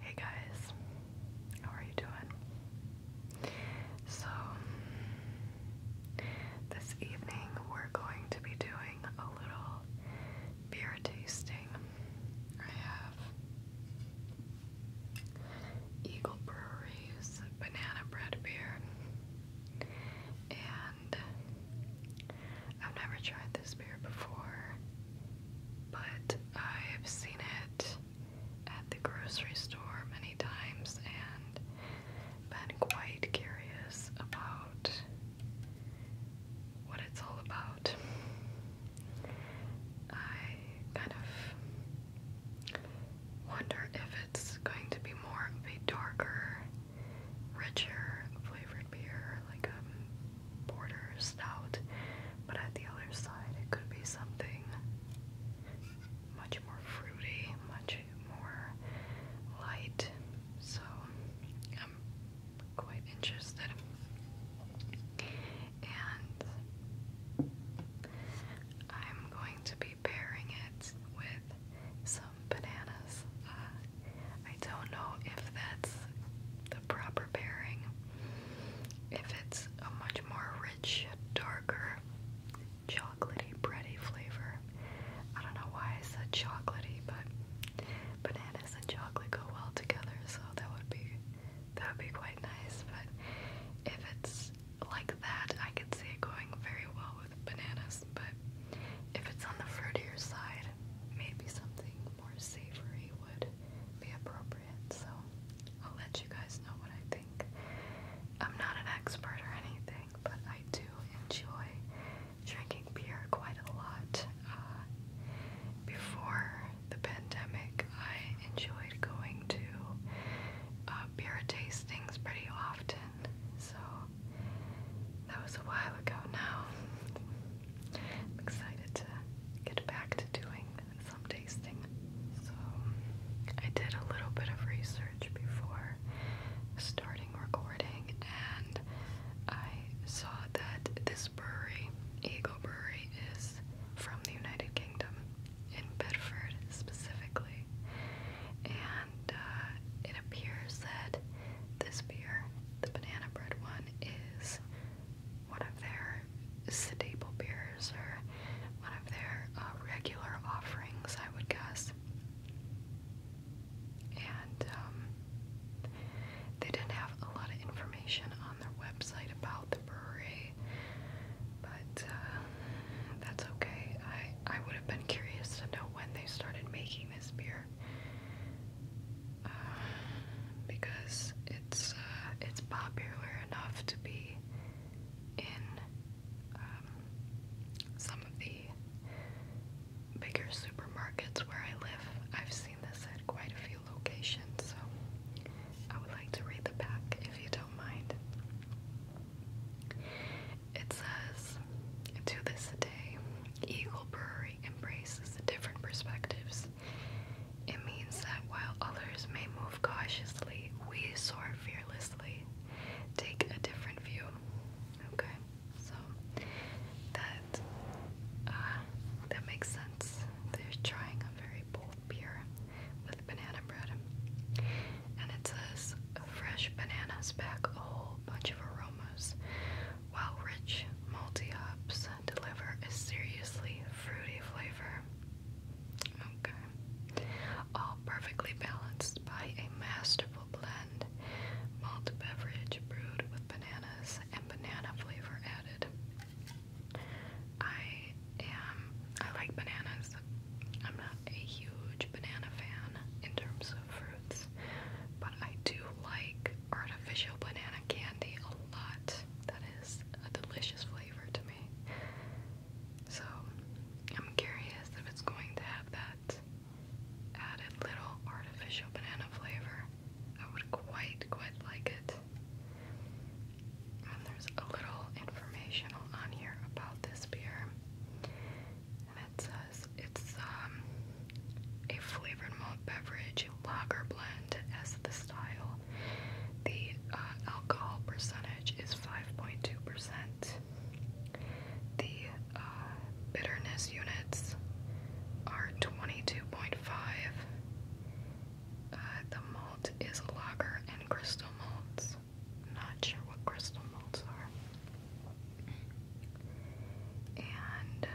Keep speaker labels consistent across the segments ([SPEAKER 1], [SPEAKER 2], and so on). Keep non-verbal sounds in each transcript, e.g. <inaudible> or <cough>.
[SPEAKER 1] Hey guys, how are you doing? So, this evening we're going to be doing a little beer tasting. I have Eagle Brewery's banana bread beer and I've never tried this beer before, but I've seen it at the grocery store many times and been quite curious about what it's all about. I kind of wonder if it's going to be more of a darker, richer flavored beer, like a um, borders out, but at the other side it could be something much more fruity, much more light. So I'm quite interested. And I'm going to be pairing it with some bananas. Uh, I don't know if that's the proper preparing. If it's a much more rich, darker, chocolatey, bready flavor, I don't know why I said chocolatey, but bananas and chocolate go well together, so that would be that would be quite nice. But if it's like that, I could see it going very well with bananas. But if it's on the fruitier side, maybe something more savory would be appropriate. So I'll let you guys know what I think. I'm not an expert or anything, but I do enjoy drinking beer quite a lot. Uh, before the pandemic, I enjoyed going to uh, beer tastings pretty often, so that was a while ago now. I'm excited to get back to doing some tasting. So, I did a little bit of research before starting recording, and I saw that this brewery, Eagle Brewery, is from the United Kingdom, in Bedford specifically. And uh, it appears that this beer, the banana bread one, is one of their staple beers or one of their uh, regular offerings, I would guess. And um, they didn't have a lot of information on their website about the brewery, but uh, that's okay. I I would have been curious to know when they started making this beer. <sighs> because it's uh, it's popular enough to be in um, some of the bigger supermarkets where I live. I've seen this at quite a few locations, so I would like to read the back if you don't mind. It says, To this day, Eagle Brewery embraces the different perspectives it means that while others may move cautiously, we soar fearlessly. Take a different view. Okay, so that uh, that makes sense. They're trying a very bold beer with banana bread, and it says fresh bananas pack a whole bunch of aromas, while rich multi hops deliver a seriously fruity flavor. All perfectly balanced by a masterful blend. Malt beverage brewed with bananas and banana flavor added. I am, I like bananas. I'm not a huge banana fan in terms of fruits, but I do like artificial banana candy a lot a delicious flavor to me. So I'm curious if it's going to have that added little artificial banana flavor. I would quite, quite like it. And there's a little informational on here about this beer. And it says it's um, a flavored malt beverage lager blend as the style. The uh, alcohol percentage is 5.2%. The uh, bitterness units are 22.5. Uh, the malt is lager and crystal malts. Not sure what crystal malts are. And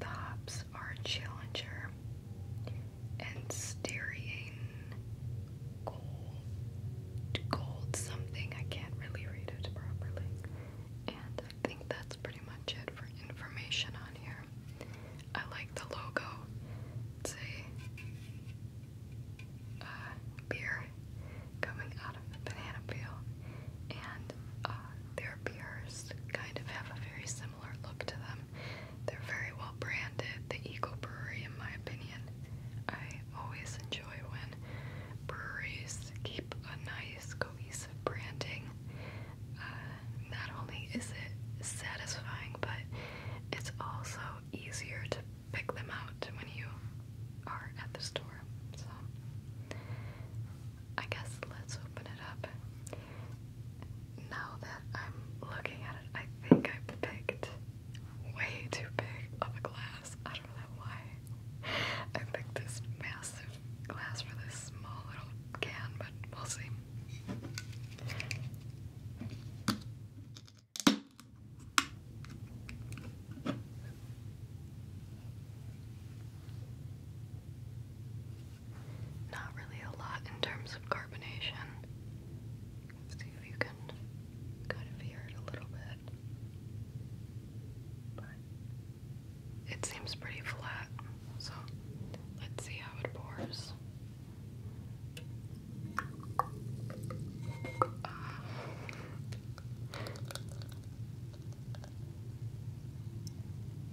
[SPEAKER 1] the hops our challenger and Styrian gold something. I can't really read it properly. And I think that's pretty much it for information on here. I like the logo. It's a uh, beer coming out of the banana peel, and uh, their beers kind of have a very similar look to them. They're very well branded, the Eco Brewery, in my opinion. I always enjoy when breweries keep a nice, cohesive branding. Uh, not only is it satisfying, but it's also easier to pick them out when you are at the store. So, I guess let's open it up. Now that I'm looking at it, I think I picked way too big of a glass. I don't know why. I picked this massive glass for this small little can, but we not really a lot in terms of carbonation. see if you can kind of hear it a little bit. But it seems pretty flat, so let's see how it pours.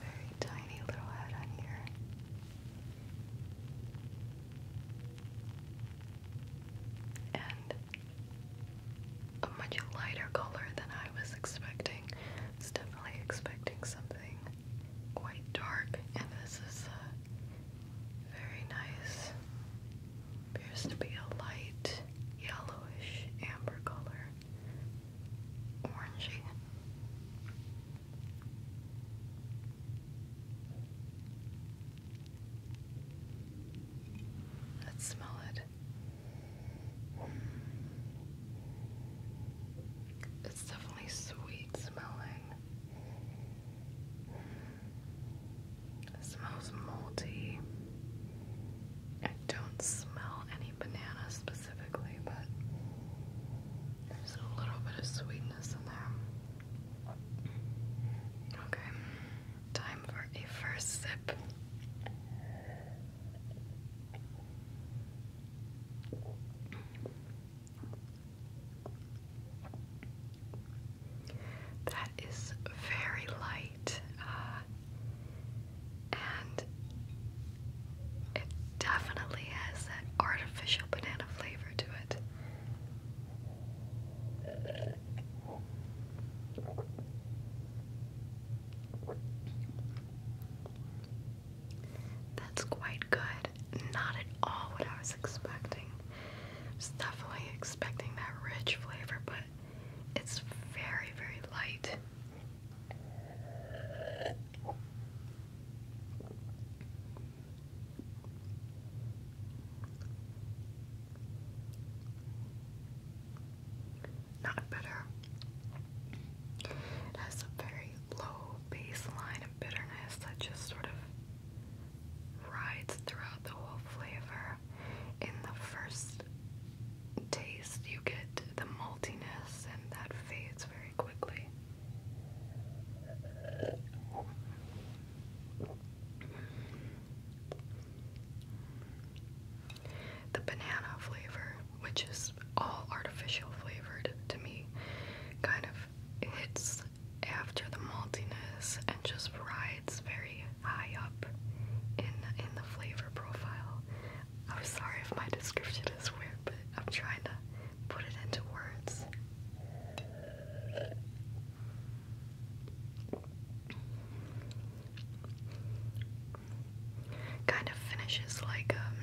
[SPEAKER 1] Very tiny little head on here. And a much lighter color than I was expecting. was definitely expecting something quite dark, and this is very nice appears to be a light yellowish amber color, orangey. Let's smell it. Hmm. It's definitely sweet smelling. Hmm. It smells malty. I don't smell any banana specifically, but there's a little bit of sweetness in there. Okay, time for a first sip that is very light uh, and it definitely has that artificial banana flavor to it. That's quite good. Not at all what I was expecting. I was definitely expecting that rich flavor, but it's very, very light. Not bitter. It has a very low baseline of bitterness that just sort of rides throughout the whole flavor. In the first taste, you get the maltiness, and that fades very quickly. The banana flavor, which is all artificial flavored to me, kind of hits after the maltiness and just rides very high up in in the flavor profile. I'm sorry if my description is weird, but I'm trying to put it into words. Kind of finishes like um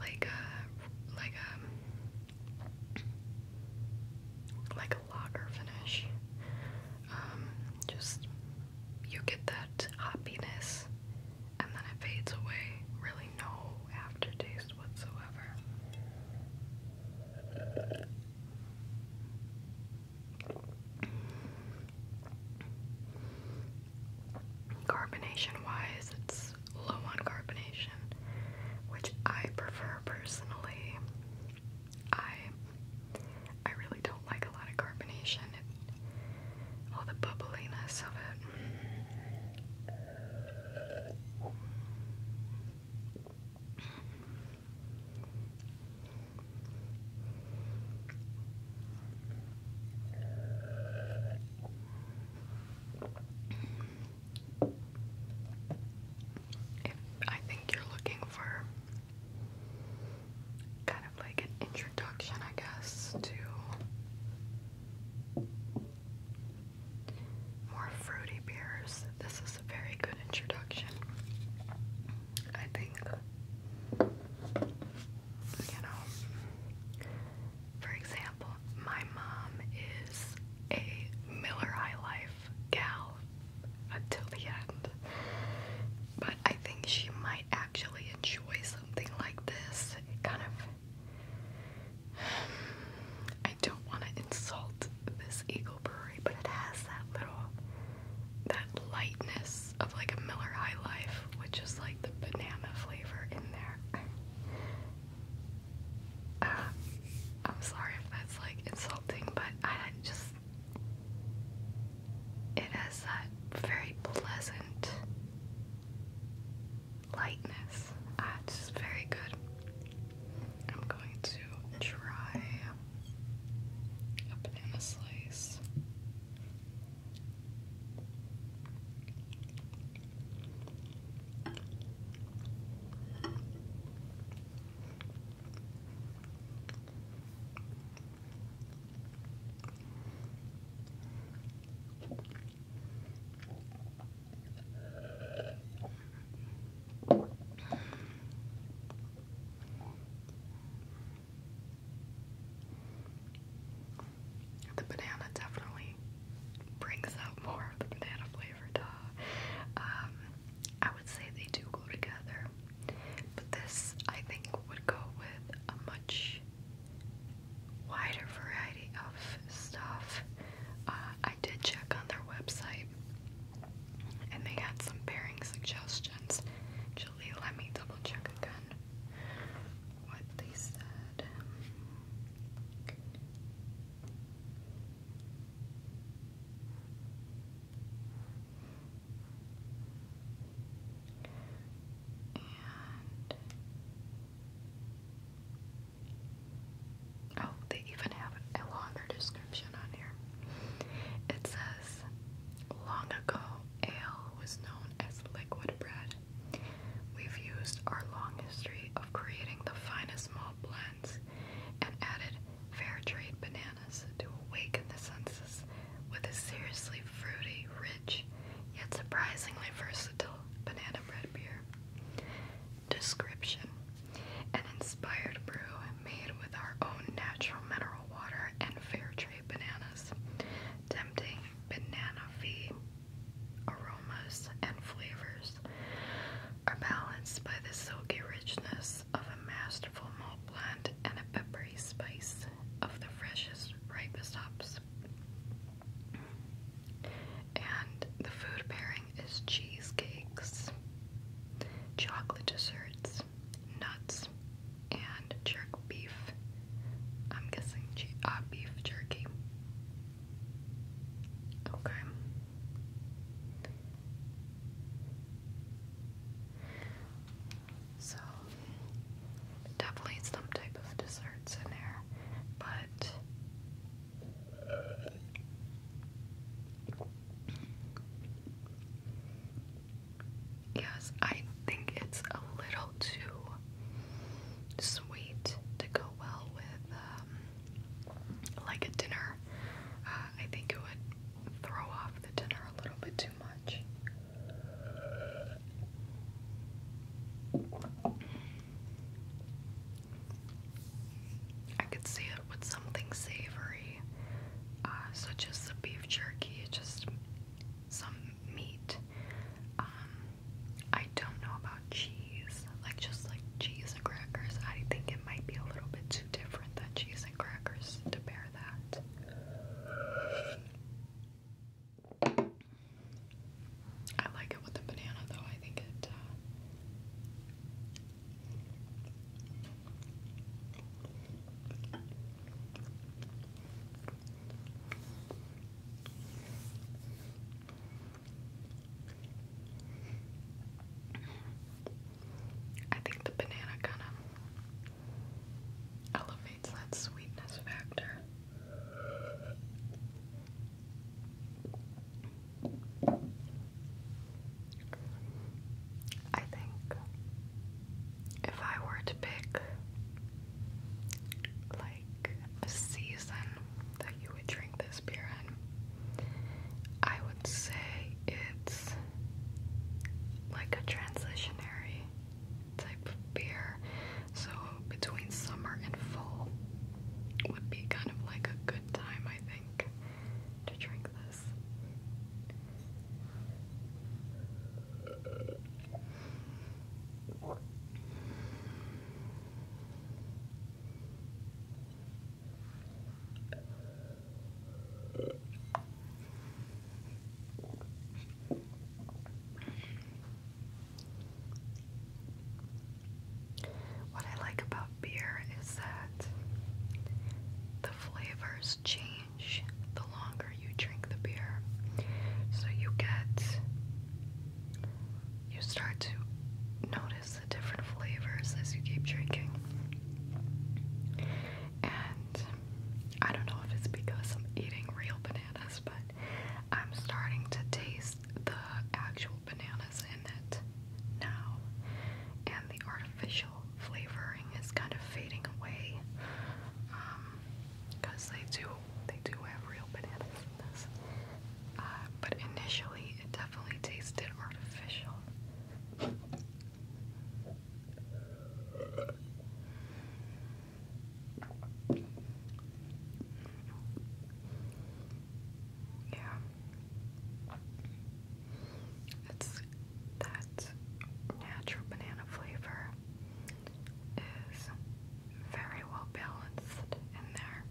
[SPEAKER 1] like a like a um, like a lager finish. Um, just you get that hoppiness and then it fades away. Really no aftertaste whatsoever. Carbonation wise, it's low on carbonation, which I prefer personally. I I really don't like a lot of carbonation all the bubbliness of it. I think you're looking for kind of like an introduction, I guess, to more fruity beers, this is a very good introduction. I think, you know, for example, my mom is a Miller High Life gal until the end. But I think she might actually enjoy something like this. kind of. <sighs> I don't want to insult this Eagle Brewery, but it has that little. that lightness of like a Miller High Life, which is like the banana flavor in there. <sighs> Uh, I'm sorry if that's like insulting, but I I just it has that very pleasant lightness. Ah, it's just very good. I'm going to try a banana slice. The banana definitely brings out more of the banana flavor. Uh, um, I would say they do go together, but this I think would go with a much wider variety of stuff. Uh, I did check on their website, and they had some pairing suggestions. Julie, let me double check again what they said oh, they even have a longer description on here. It says, Long ago, ale was known as liquid bread. We've used our long history of creating the finest malt blends and added fair trade bananas." to awaken the senses with a seriously fruity, rich, yet surprisingly versatile banana bread beer. Description An inspired brew made with our own natural mineral water and fair trade bananas. Tempting banana fee aromas and flavors are balanced by the silky richness of a masterful malt blend and a peppery spice of the freshest, ripest hops. And the food pairing is cheesecakes, chocolate desserts, nuts, and jerk beef. I'm guessing uh, beef jerky. Okay. So, definitely some type of desserts in there, but yes, I think it's a little too sweet to go well with um, like a dinner uh, I think it would throw off the dinner a little bit too much. I could see it with something savory, uh, such as the beef jerky, just some meat. Um, I don't know about cheese, like just like cheese and crackers. I think it might be a little bit different than cheese and crackers to bear that. I like it with the banana though. I think it uh, I think the banana kind of elevates that sweetness factor. I think if I were to pick like a season that you would drink this beer in, I would say it's like a transitionary type of beer. So between summer and fall would be kind of like a good time, I think, to drink this. What I like about beer is that the flavors change the longer you drink the beer. So you get, you start to notice the different flavors as you keep drinking and I don't know if it's because I'm eating real bananas, but I'm starting to taste the actual bananas in it now, and the artificial flavoring is kind of fading away because um, they do they do have real bananas in this, uh, but initially it definitely tasted artificial. Yeah. It's that natural banana flavor is very well balanced in there.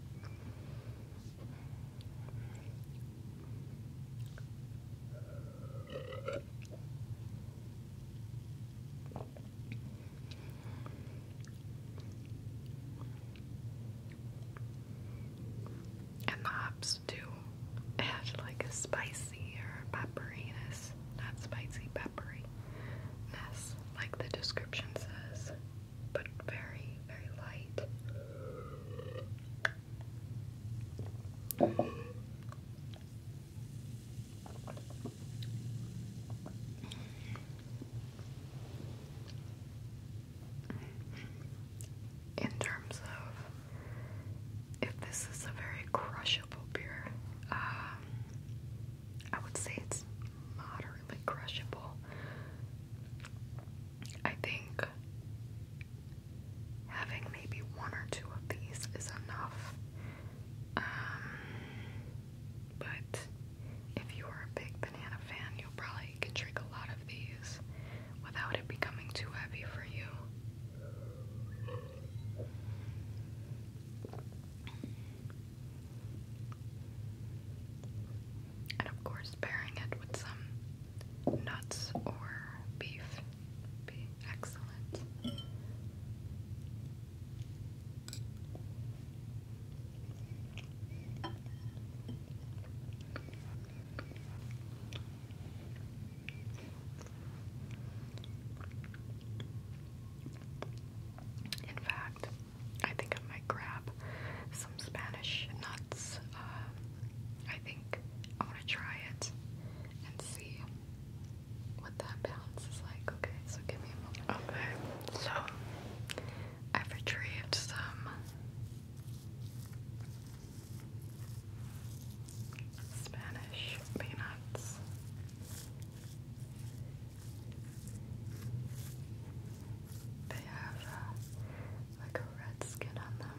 [SPEAKER 1] And the hops too had like a spicy or pepperiness, not spicy, pepperiness, like the description says, but very, very light. In terms of if this is a very crushable beer, um, I would say it's moderately crushable. I think having maybe one or two of these is enough. Um, but if you are a big banana fan, you probably can drink a lot of these without it becoming too heavy for you. And of course, pairing it with some nuts or beef be excellent. In fact, I think I might grab some Spanish nuts. Uh, I think I want to try it and see what that balance is like. Okay, so give me a moment. Okay, so I've retrieved some Spanish peanuts. They have uh, like a red skin on them.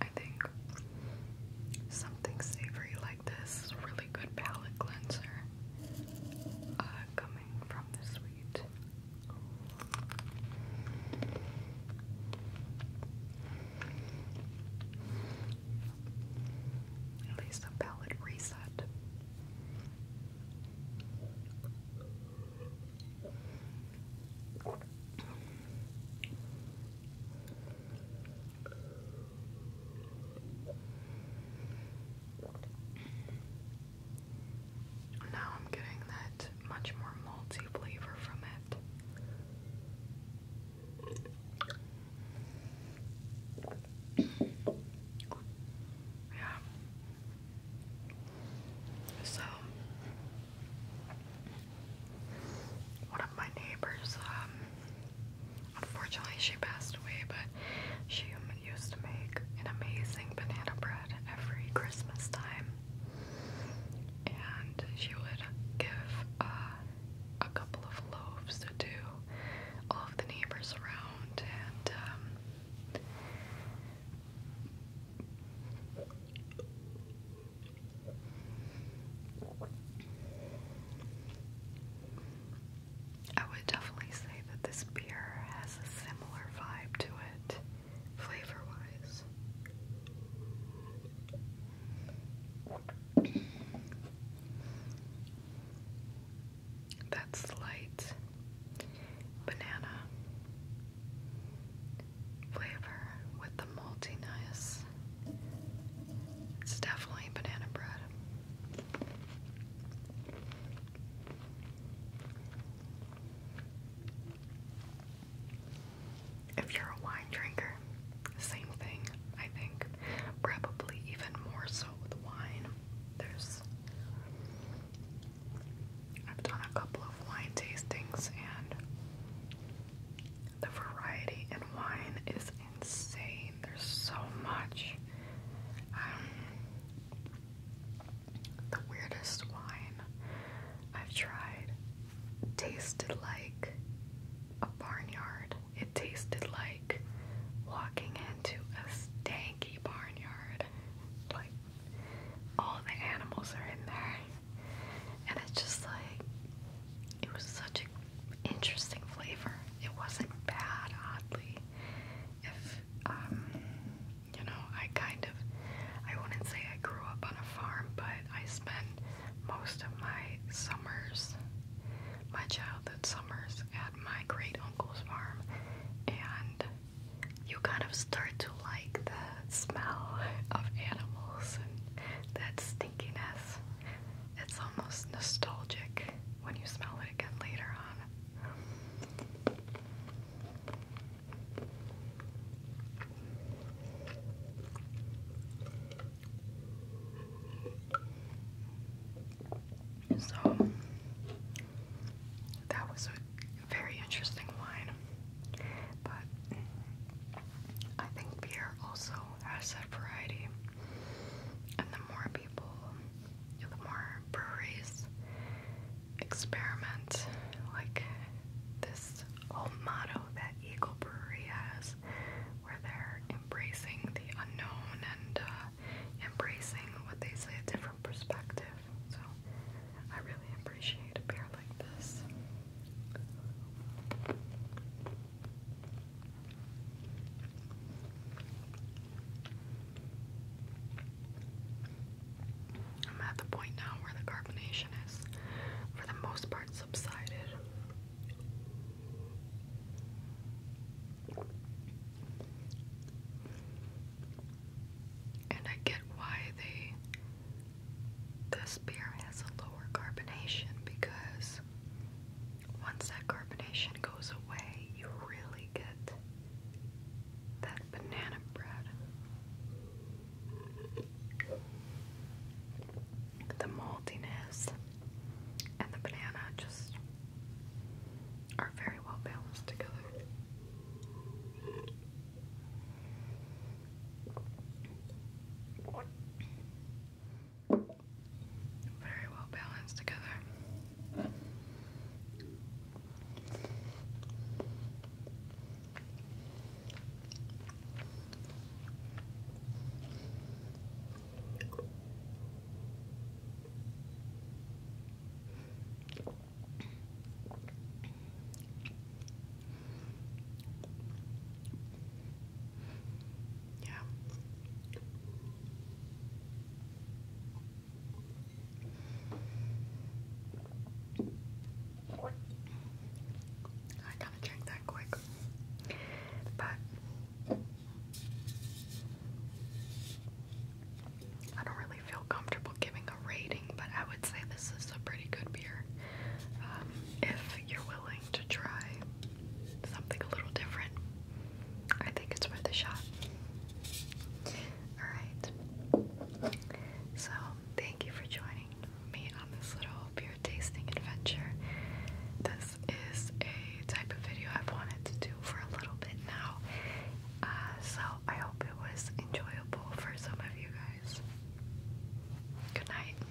[SPEAKER 1] I think something savory like this is really good palate cleanser uh, coming from the sweet. At least a palate reset. Now I'm getting that much more malty flavor from it. Yeah. So one of my neighbors, um, unfortunately she passed away, but she used to make an amazing banana bread every Christmas time. And she would give uh, a couple of loaves to all of the neighbors around, and um, I would definitely say that this beer has a similar vibe to it, flavor wise. That slight banana flavor with the maltiness it's definitely banana bread. If you're a wine drinker, same thing, I think. Probably even more so with wine. There's I've done a couple of wine tastings and the variety in wine is insane. There's so much. Um, the weirdest wine I've tried tasted like a barnyard. It tasted like walking into a stanky barnyard. Like, all the animals are in there. And it's just like, it was such an interesting flavor. It wasn't bad, oddly. If, um, you know, I kind of, I wouldn't say I grew up on a farm, but I spent most of my summers, my childhood summers, at my great uncle's farm, and you kind of start to like the smell of animals and that stinkiness. It's almost nostalgic when you smell it again later on. So, that was a very interesting wine, but I think beer also asset variety. And the more people, the more breweries experiment, like this whole motto that Eagle Brewery has, where they're embracing the unknown and uh, embracing what they say a different perspective. So I really appreciate a beer like this. I'm at the point now where the carbonation is, for the most part, subsided. And I get why they this beer has a lower carbonation because once that carbonation goes away, you really get that banana bread. The maltiness and the banana just are very well balanced together very well balanced together. Yeah. I gotta drink that quick. But I don't really feel comfortable giving a rating, but I would say this is a pretty good beer. Um, if you're willing to try something a little different. I think it's worth a shot. Alright. So, thank you for joining me on this little beer tasting adventure. This is a type of video I've wanted to do for a little bit now. Uh, so, I hope it was enjoyable for some of you guys. Good night.